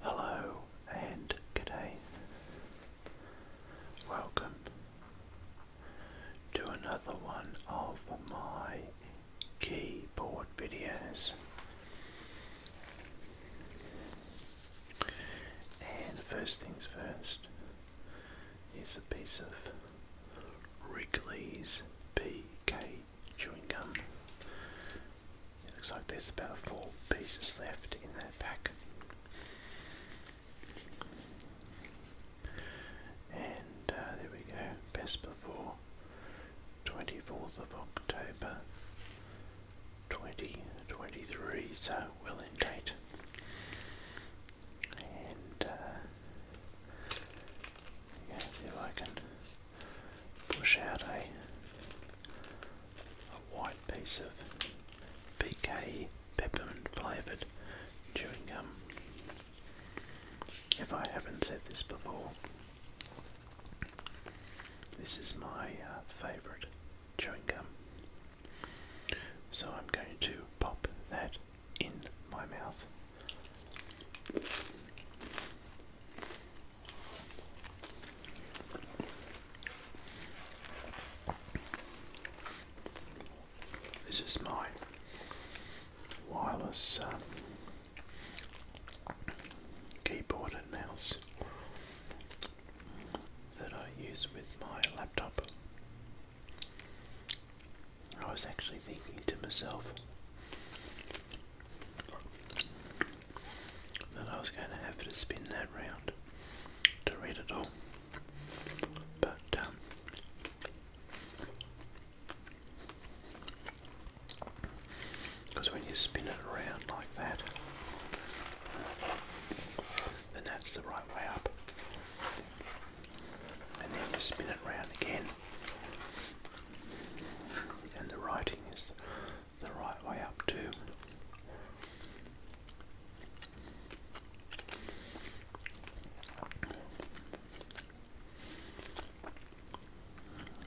Hello and good day. Welcome to another one of my keyboard videos. And first things first is a piece of Wrigley's PK chewing gum. It looks like there's about four pieces left in that pack. And uh, there we go, best before 24th of October 2023, so well in date. And uh, if I can push out a white piece of PK peppermint flavoured chewing gum. If I haven't said this before, this is my uh, favourite chewing gum. So I'm going to pop that in my mouth. This is my wireless um, keyboard and mouse that I use with my laptop. I was actually thinking to myself, that I was going to have to spin that round to read it all. But, because um, when you spin it around like that, then that's the right way up. And then you spin it round again, and the writing is the right way up too.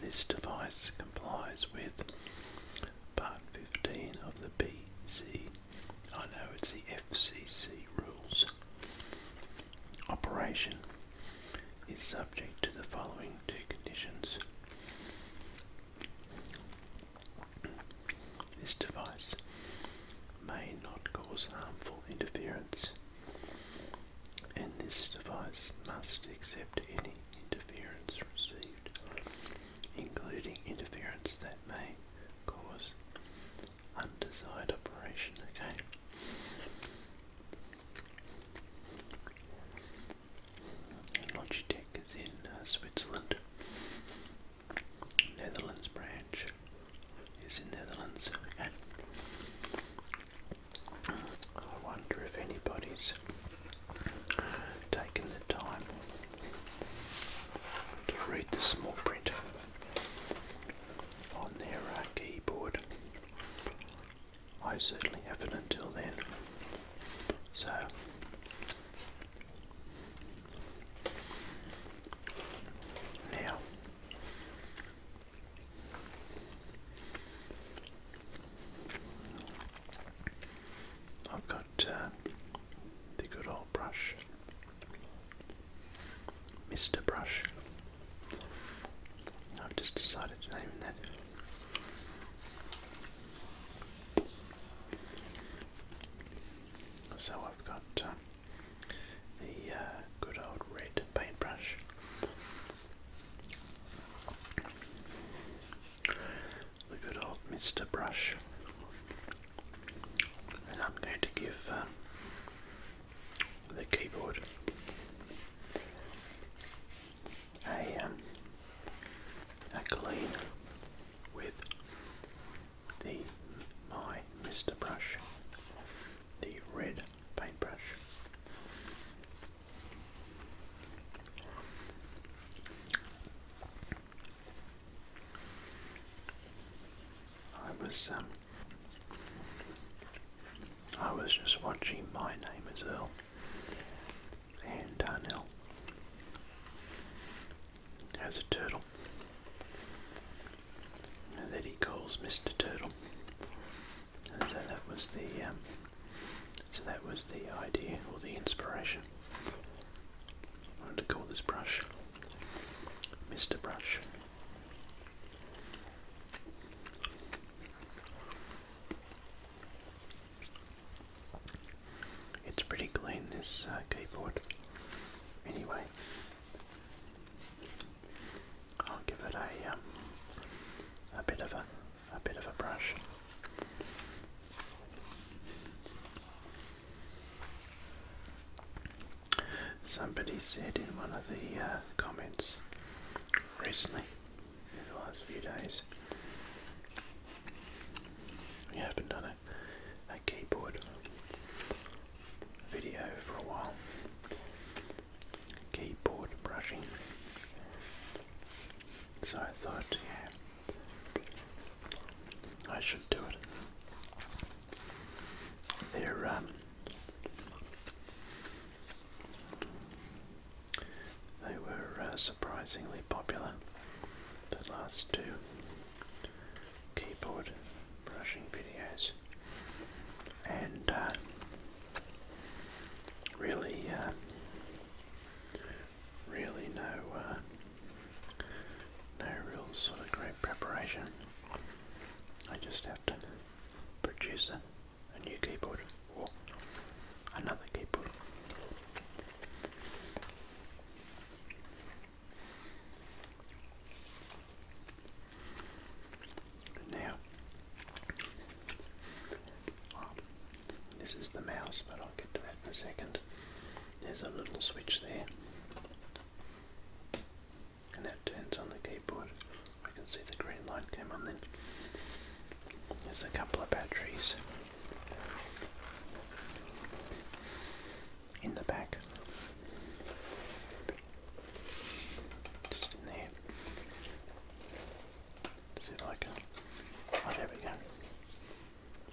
This device complies with Part 15 of the BC, I know it's the FCC rules. Operation is subject to the following two conditions. This device may not cause harmful interference, and this device must accept any interference received, including interference that may cause undesired operation. Okay. Logitech is in uh, Switzerland. Netherlands branch is in the Netherlands. I wonder if anybody's taken the time to read the small print on their uh, keyboard I certainly haven't until then. So, now, I've got uh, the good old brush, Mr. Brush. I've just decided to name that. So I've got um, the uh, good old red paintbrush. The good old Mr. Brush. And I'm going to give um, the keyboard I am um, I clean with the my Mr. Brush, the red paintbrush. I was um I was just watching My Name is Earl and Darnell has a turtle that he calls Mr. Turtle. so that was the um, so that was the idea or the inspiration. I wanted to call this brush Mr. Brush. It's pretty clean, this uh, keyboard. Anyway, I'll give it a um, a bit of a a bit of a brush. Somebody said in one of the uh, comments recently, in the last few days. We haven't done a, a keyboard video for a while. Keyboard brushing. So I thought, yeah, I should do it. There, um, they were uh, surprisingly popular, the last two keyboard brushing videos, and uh, really, uh, really no, no real sort of great preparation. I just have to produce it a new keyboard or another keyboard. Now, um, this is the mouse, but I'll get to that in a second. There's a little switch there and that turns on the keyboard. I can see the green light came on then. There's a couple of batteries in the back. Just in there. See if I can. Oh, there we go.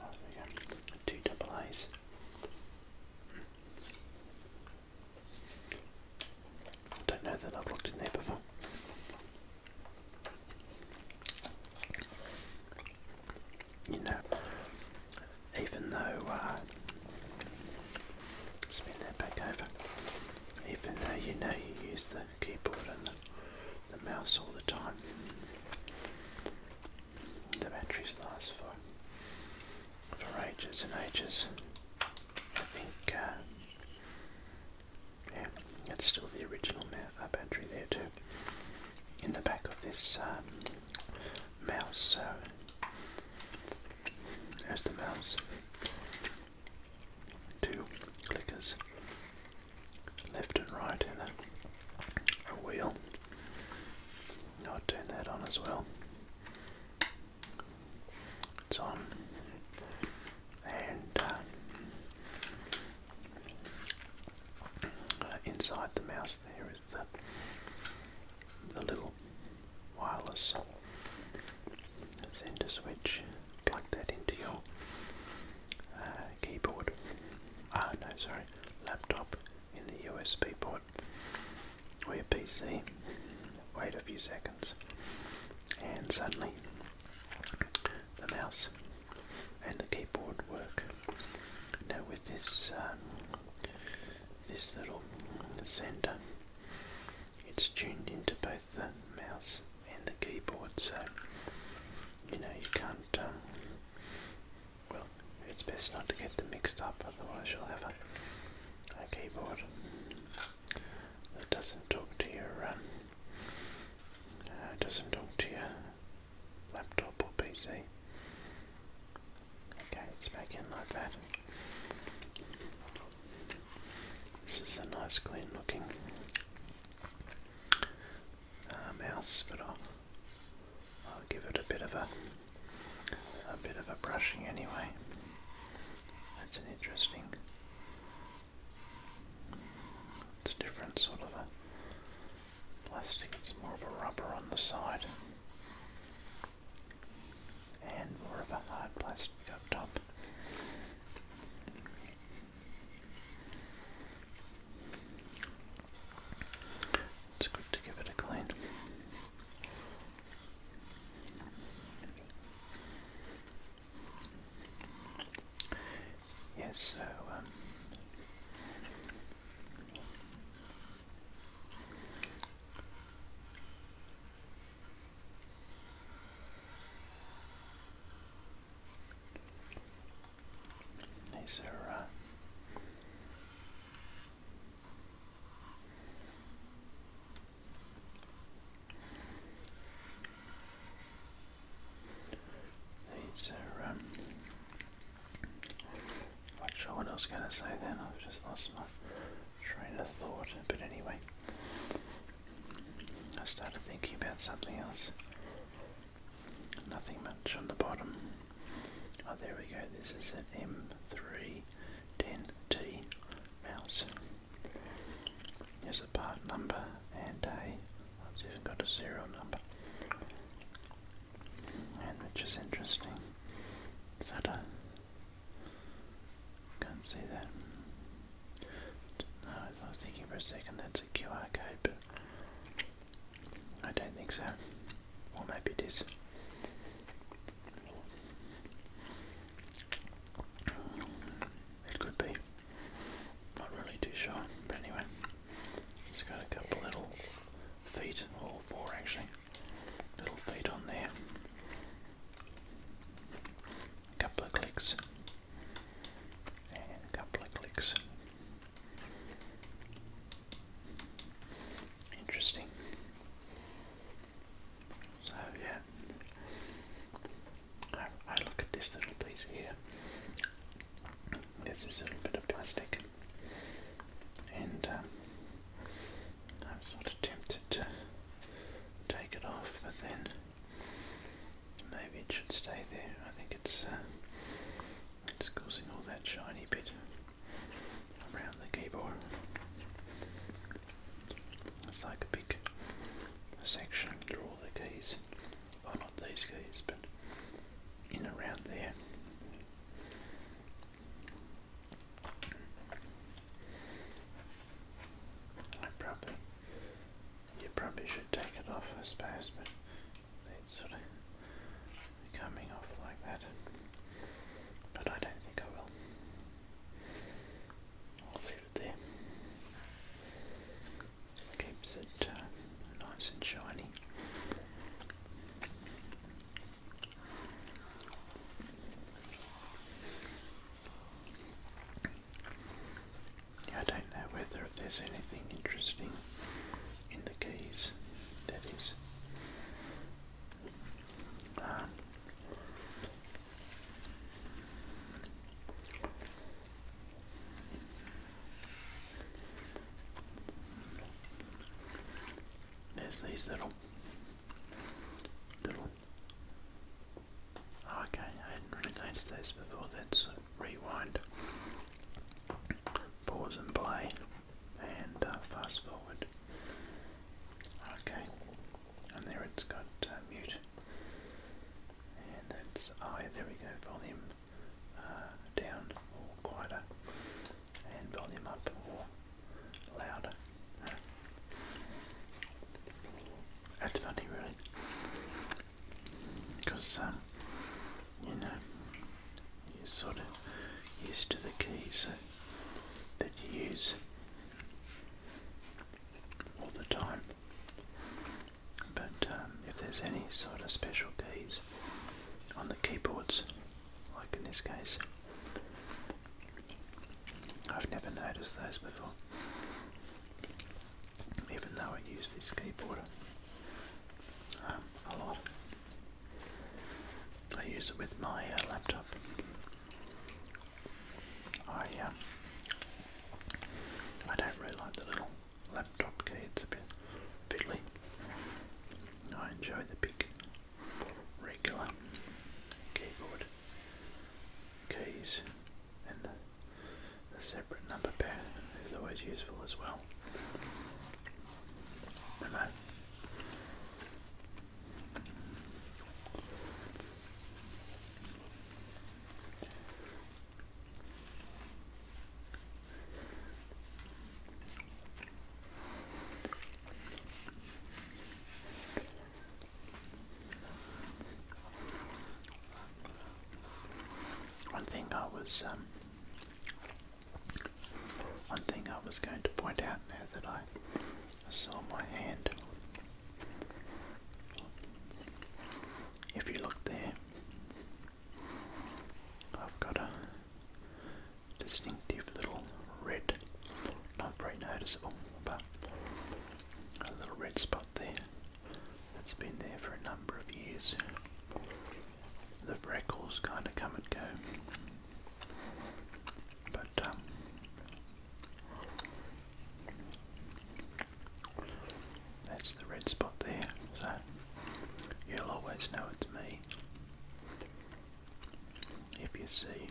Oh, there we go. Two double A's. I don't know that I've looked in there before. You know, even though, uh, spin that back over, even though you know you use the keyboard and the, the mouse all the time, the batteries last for for ages and ages. I uh, that's still the original uh, battery there too. In the back of this um, mouse, uh, there's the mouse. Two clickers, left and right, and a wheel. I'll turn that on as well. It's on. And uh, inside the mouse there is the, the little wireless sender switch. Plug that into your uh, keyboard. Ah, no, sorry, laptop in the USB port or your PC. Wait a few seconds, and suddenly the mouse and the keyboard work. Now with this um, this little sender, it's tuned into both the mouse and the keyboard, so you know you can't. Um, well, it's best not to get them mixed up, otherwise you'll have a a keyboard that doesn't talk to your um, uh, doesn't talk to your laptop or PC. Okay, let's make like that. This is a nice, clean looking uh, mouse, but I'll give it a bit of a a bit of a brushing anyway. That's an interesting, it's a different sort of a plastic, it's more of a rubber on the side and more of a hard plastic up top. It's good to give it a clean. Yes, so um, these uh, these are, um, not sure what I was going to say then, I've just lost my train of thought, but anyway, I started thinking about something else. Nothing much on the bottom. Oh, there we go, this is an M3 10T mouse. Here's a part number and a, it's even got a serial number. And which is interesting. Is that a, can't see that. I was thinking for a second that's a QR code, but I don't think so. Or maybe it is. It could be. Not really too sure, but anyway. It's got a couple little feet, all four actually, little feet on there. A couple of clicks, and a couple of clicks. Interesting. So yeah, I, look at this little piece here. There's this little bit of plastic, and um, I'm sort of tempted to take it off, but then maybe it should stay there. I think it's uh, it's causing all that shiny bit around the keyboard. It's like a big section through all the keys. Well, not these keys, but in around there. I probably, you probably should take it off, I suppose, but it's sort of coming off like that, but I don't think I will. I'll leave it there. Keeps it uh, nice and shiny. I don't know whether there's anything interesting in the keys that is there's these little, little. Oh, okay, I hadn't really noticed this before. That's rewind, pause and play and uh, fast forward. Okay, and there it's got uh, mute, and that's oh there we go, volume uh, down or quieter, and volume up or louder. That's funny, really, because um, you know, you're sort of used to the keys that you use all the time. But um, if there's any sort of special keys on the keyboards, like in this case, I've never noticed those before. Even though I use this keyboard um, a lot. I use it with my uh, laptop. I uh, I don't really like the little laptop key; it's a bit fiddly. I enjoy the big regular keyboard keys, and the, separate number pad is always useful as well. And one thing I was um, one thing I was going to point out now that I saw my hand. If you look there, I've got a distinctive little red, not very noticeable, but a little red spot there that's been there for a number of years the freckles kind of come and go. But um, that's the red spot there, so you'll always know it's me if you see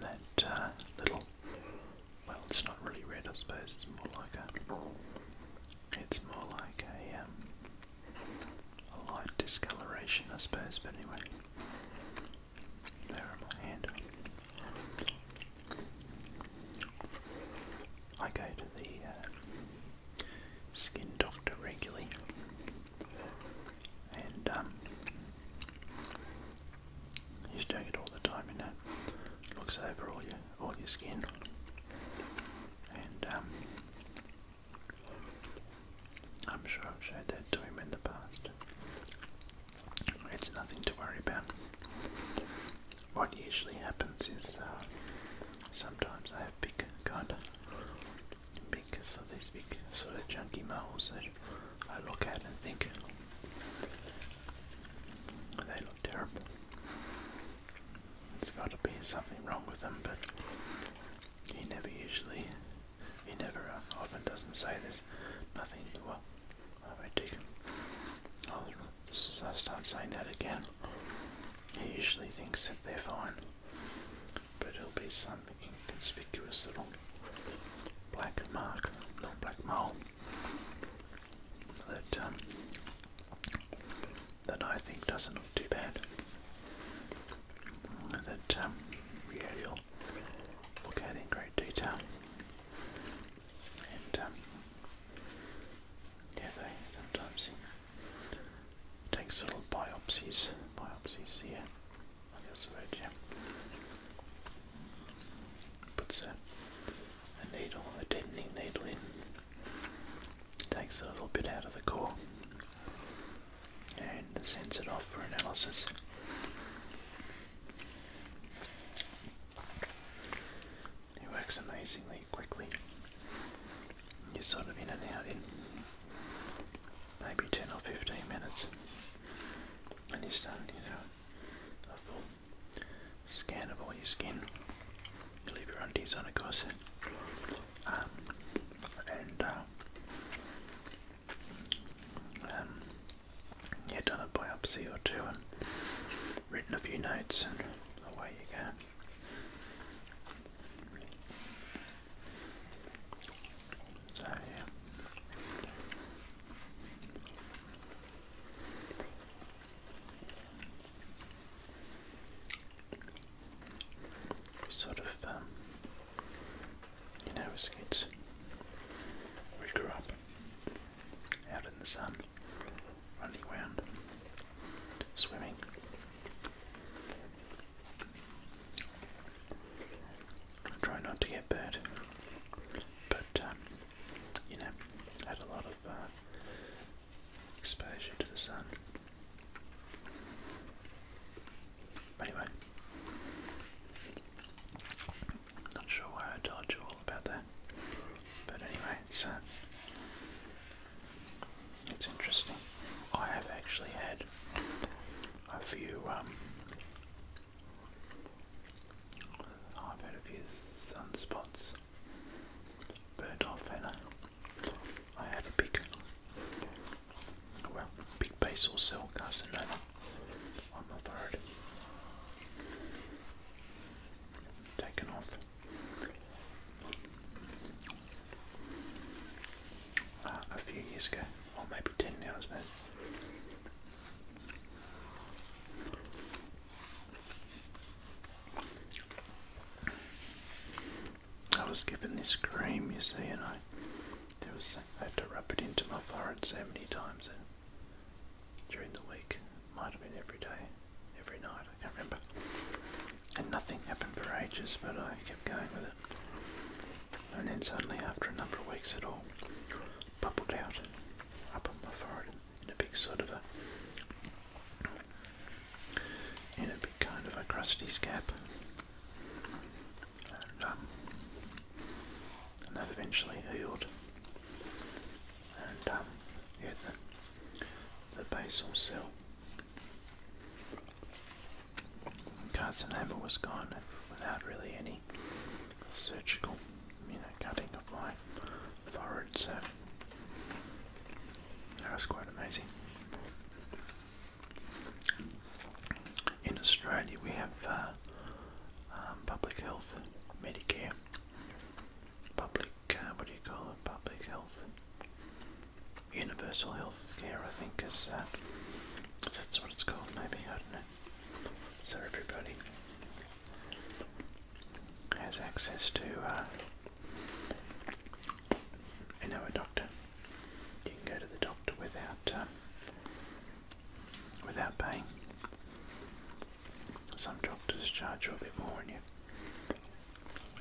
that uh, little. Well, it's not really red, I suppose. It's more like a. It's more like a um, a light discoloration, I suppose, but anyway. There on my hand. I go to the uh, skin doctor regularly, and um, he's doing it all the time. You know, looks over all your all your skin, and um, I'm sure I've showed that to him in the past. It's nothing to worry about. What usually happens is uh, sometimes I have big kind of big sort of these big sort of chunky moles that I look at and think they terrible. There's got to be something wrong with him, but he never usually, he never uh, often doesn't say there's Nothing. Well, I take. I'll start saying that again. He usually thinks that they're fine, but it'll be some inconspicuous little black mark, little black mole that um, that I think doesn't look too bad. That um, really look at in great detail. And um, yeah, they sometimes take sort biopsies, biopsies here. I think that's the Puts a, needle, a deadening needle in Takes a little bit out of the core and sends it off for analysis. It works amazingly quickly. You're sort of in and out in maybe 10 or 15 minutes, and you're starting, you know, a full of all your skin. leave your undies on, of course. Um, and uh, um, yeah, done a biopsy or two, and written a few notes, and away you go. So yeah sort of, um, you know, as kids, we grew up out in the sun, running around, swimming. try not to get burnt, but um, you know, had a lot of uh, exposure to the sun. Anyway, not sure why I told you all about that, but anyway, so it's interesting. I have actually had a few, um, I've had a few sunspots bird off and I, I had a big, well, big basal cell carcinoma on my throat. Taken off. Uh, a few years ago, or maybe 10 now, I I was given this cream, you see, and I, had to rub it into my forehead so many times during the week. Might have been every day, every night, I can't remember. And nothing happened for ages, but I kept going with it. And then suddenly, after a number of weeks, it all bubbled out up on my forehead in a big sort of a in a big kind of a crusty scab, and, um, and that eventually healed. And um, yeah, the, the basal cell carcinoma was gone without really any surgical, you know, cutting of my forehead. So that was quite amazing. In Australia, we have uh, um, public health, Medicare, public, uh, what do you call it, public health, universal health care, I think is, that. Uh, that's what it's called, maybe, I don't know. So everybody has access to uh, know a doctor. You can go to the doctor without um, without paying. Some doctors charge you a bit more, and you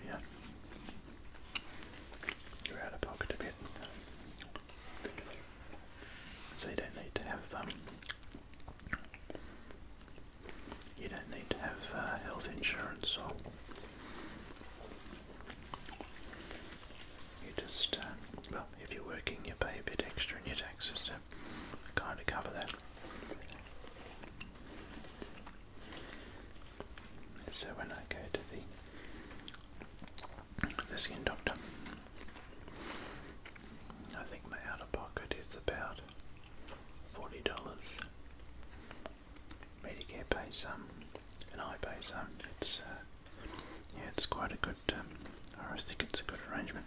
you you're out of pocket a bit. So you don't need to have um, you don't need to have uh, health insurance or you just, uh, well, if you're working, you pay a bit extra in your tax system kind of cover that. So when I go to the, the skin doctor, I think my outer pocket is about $40. Medicare pays some, and I pay some. It's, uh, yeah, it's quite a good, um, I think it's a good arrangement.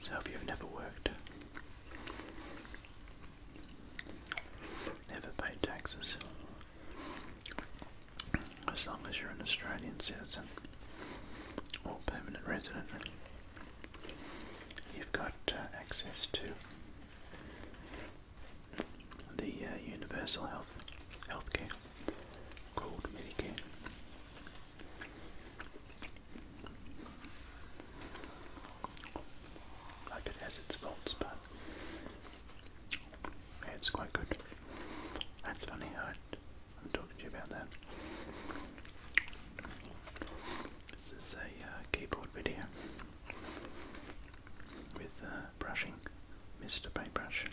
So if you've never worked, never paid taxes, as long as you're an Australian citizen or permanent resident, you've got uh, access to the uh, universal health healthcare called Medicare. Like it has its faults, it's quite good. That's funny how I'm talking to you about that. This is a uh, keyboard video with uh, brushing, Mr. Paintbrush.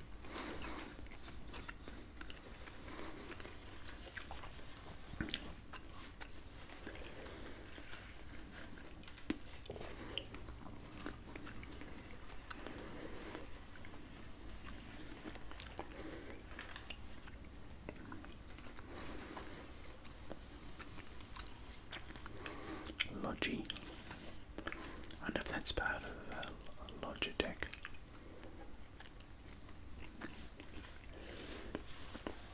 Logi. I know if that's part of uh, Logitech.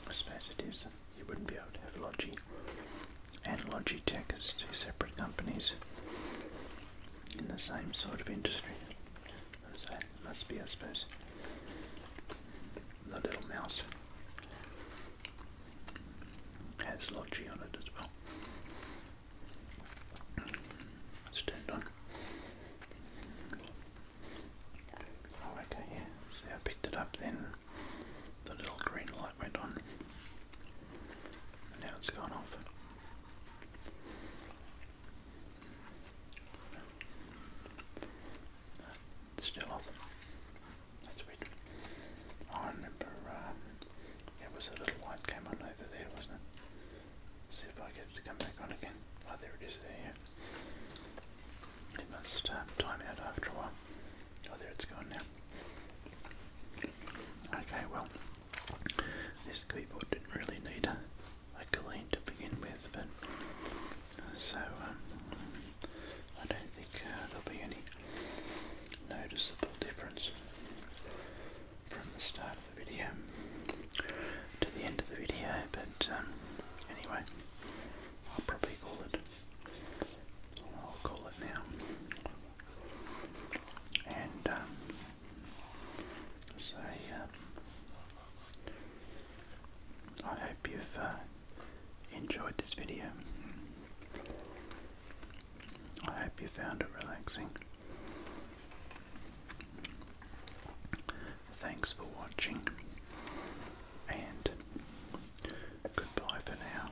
I suppose it is. You wouldn't be able to have Logi and Logitech is two separate companies in the same sort of industry. So it must be, I suppose, the little mouse has Logi on it as well. It's on. Oh, okay, yeah. See, I picked it up then. The little green light went on. Now it's gone off. still off. That's weird. I remember um, it was a little light came on over there, wasn't it? see if I get it to come back on again. Oh, there it is there, yeah. It must um, time out after a while. Oh, there it's gone now. Okay, well, this keyboard didn't really need a, clean to begin with, but uh, so um, I don't think uh, there'll be any noticeable difference from the start of the video to the end of the video, but um, anyway, I'll probably call it. I'll call it now and um, so I hope you've uh, enjoyed this video. I hope you found it relaxing. Thanks for watching, and goodbye for now.